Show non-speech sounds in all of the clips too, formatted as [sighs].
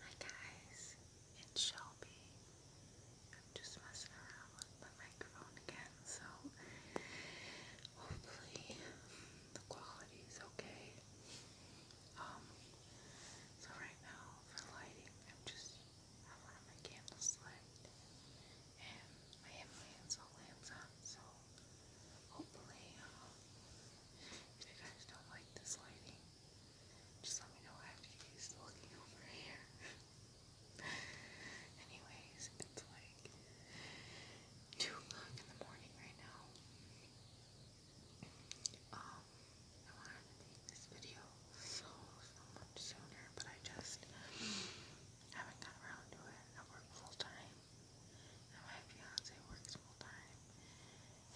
Hi guys, it's Shelby. I'm just messing around with my microphone again, so hopefully the quality is okay. Um, so right now for lighting, I'm just I one of my candles lit and my Himalayan salt lamps on, so hopefully um, if you guys don't like this lighting, just let me know after you guys looking over here. [laughs] Anyways, it's like 2 o'clock in the morning right now. Um, I wanted to make this video so, so much sooner, but I just haven't gotten around to it. I work full time and my fiance works full time.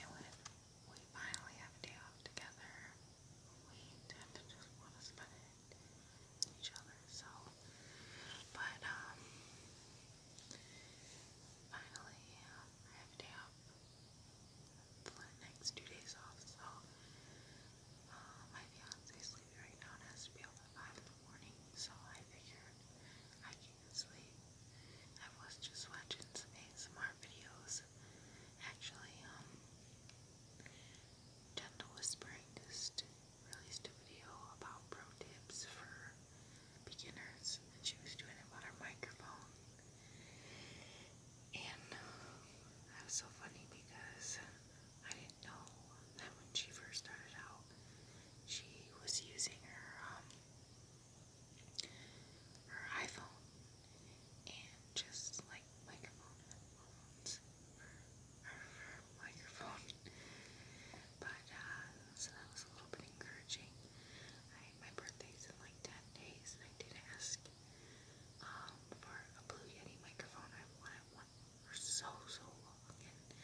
And when we finally have a day off together, we just want to spend it each other. So, but um, finally I have a day off. The next two days off. So, uh, my fiance sleeping right now and has to be up at five in the morning. So I figured I can sleep. I was just watching some ASMR videos. Actually, um, Gentle Whispering just released a video about pro tips for beginners, and she was doing it about her microphone. And uh, that was so funny because I didn't know that when she first started out, she was using her um, her iPhone and just like microphone her microphone. [laughs] But uh, so that was a little bit encouraging. my birthday's in like ten days and I did ask um, for a blue yeti microphone. i wanted one for so so long. And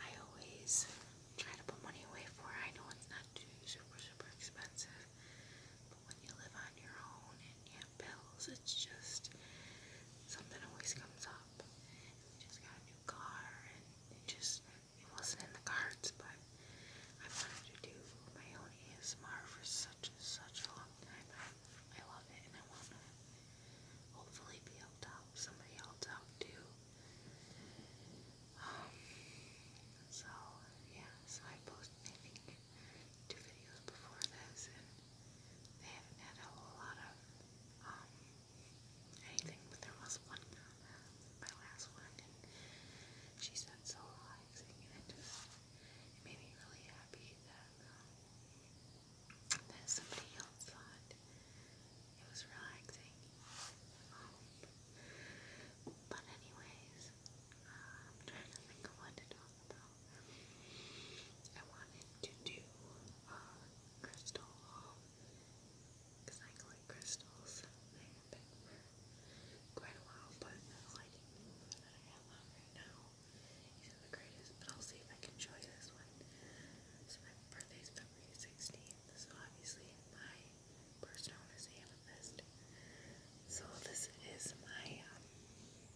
I always try to put money away for it. I know it's not too super, super expensive, but when you live on your own and you have bills, it's just something always comes up. We just got a new car, and it just it wasn't in the cards, but I wanted to do my own ASMR for such and such a long time. I, I love it, and I want to hopefully be able to help somebody else out too. Um, so, yeah, so I posted, I think, two videos before this, and they haven't had a whole lot of, um, anything, but there was one comment, my last one, and she said so relaxing, and it just, made me really happy that, um, that somebody else thought it was relaxing. but anyways, trying to think of what to talk about. I wanted to do uh, crystal because I collect crystals. They have been for quite a while, but the lighting that I have right now isn't the greatest. But I'll see if I can show this one. So my birthday February so obviously my personal is amethyst. So this is my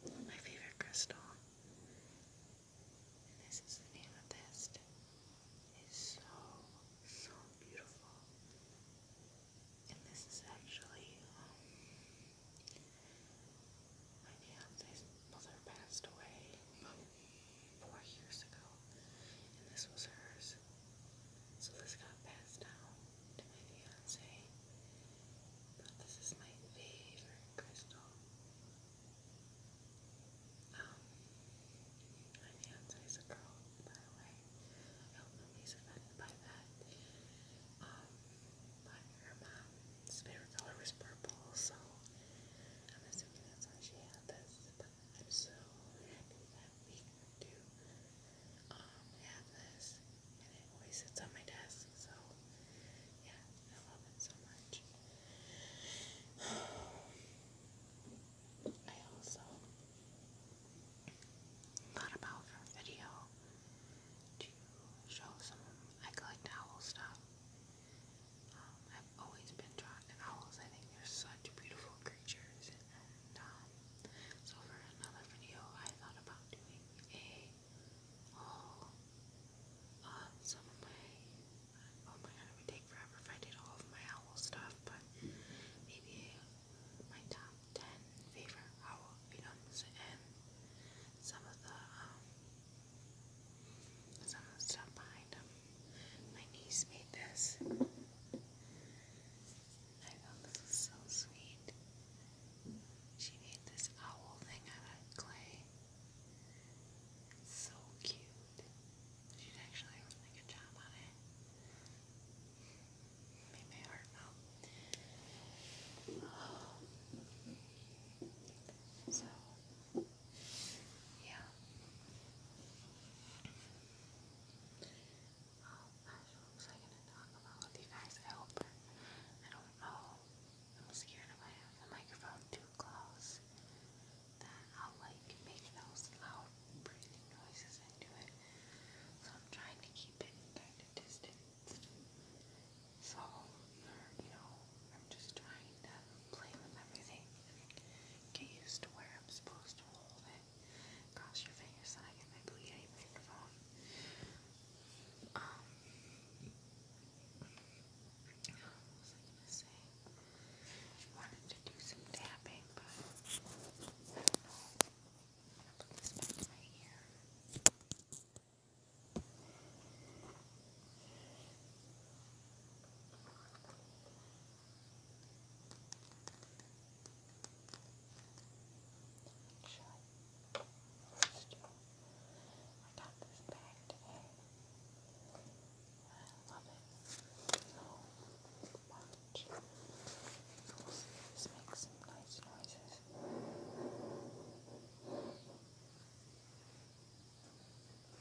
um, my favorite crystal. And this is the amethyst. It's so so beautiful. And this is actually um, my fiance's mother passed away, four years ago, and this was hers. So this got passed down to my fiance. this is my favorite crystal. Um, my fiance is a girl, by the way. I hope nobody's by that. Um, her mom his favorite color was purple, so I'm assuming that's why she had this. so we do um, have this, and it always sits on my desk. So yeah, I love it so much. [sighs] I also thought about for a video to show some I collect owl stuff. Um, I've always been drawn to owls. I think they're such beautiful creatures. And um, so for another video, I thought about doing a haul oh, um, on some of my. Oh my god, it would take forever if I did all of my owl stuff, but maybe my top ten favorite owl items and some of the Someone stopped behind him. My niece made this. I thought this so sweet. She made this owl thing out of clay. so cute. She did a good job on it. Made my heart melt. So, yeah. Um, that's what gonna talk about with you guys? I hope I don't know. I'm scared if I have the microphone too close that I'll like make those loud breathing noises into it. So I'm trying to keep it kind of distant. So, you know, I'm just trying to play with everything. Get used to where I'm supposed to hold it across your face and I get my bleeding microphone. Um, what was I gonna say? wanted to do some tapping, but I don't know. put this back in my ear. Still, I got this bag today. I love it. So much. We'll see if this makes some nice noises. Maybe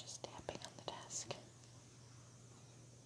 just tapping on the desk.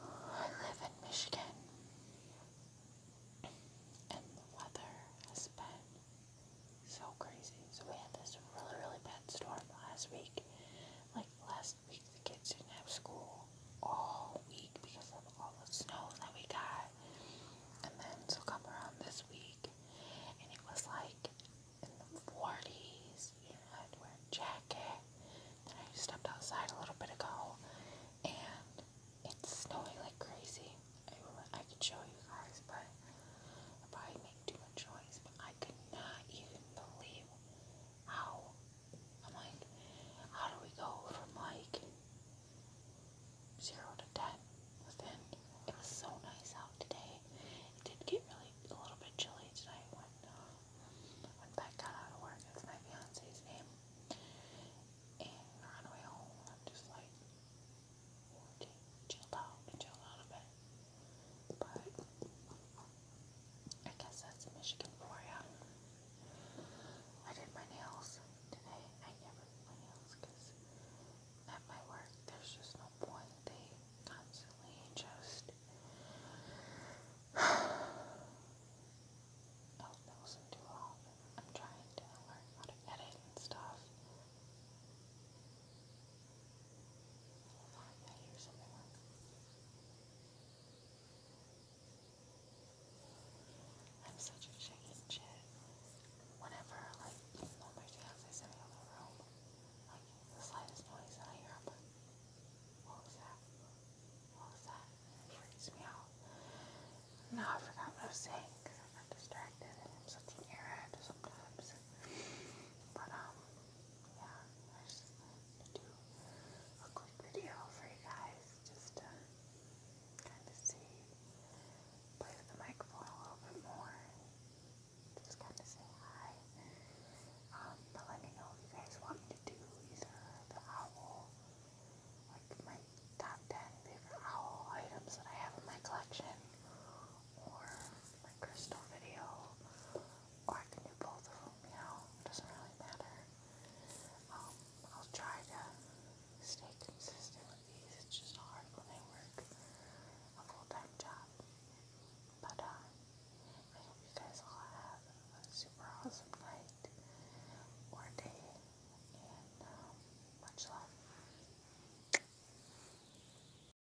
I live in Michigan, and the weather has been so crazy. So we had this really, really bad storm last week, like last the kids didn't have school all week because of all the snow that we got. And then so come around this week and it was like in the 40s, you know, I had to wear a jacket. I stepped outside a little bit ago and it's snowing like crazy. I, could show you guys, but I probably make too much noise. But I could not even believe how? I'm like, how do we go from like zero to ten It was so nice out today. It did get really a little bit chilly tonight when uh, when Beck got out of work. That's my fiance's name. And on the home, I'm just like, chilled out chilled out a bit. But I guess that's Michigan for ya. I did my nails today. I never do my nails because at work there's just no point. They constantly just [sighs] Oh, that wasn't too I'm trying to learn how to edit and stuff. I hear something like. am such a chicken shit. Whenever, like, even though is in the room, like, the slightest noise I hear, I'm that? What that? And me out. Now I forgot what I was saying because I got distracted I'm such an airhead sometimes. But, um, yeah, I just do a quick video for you guys, just to kind of see, play with the microphone a little bit more, just kind of say hi, um, but let me know if you guys want me to do the owl, like my top 10 favorite owl items that I have in my collection, or my crystal video, or I can do both of them, you doesn't really matter. Um, I'll try to stay consistent with these, it's just hard when I work a full-time job. But, uh, I hope you guys all have a super awesome night or day, and um, much love.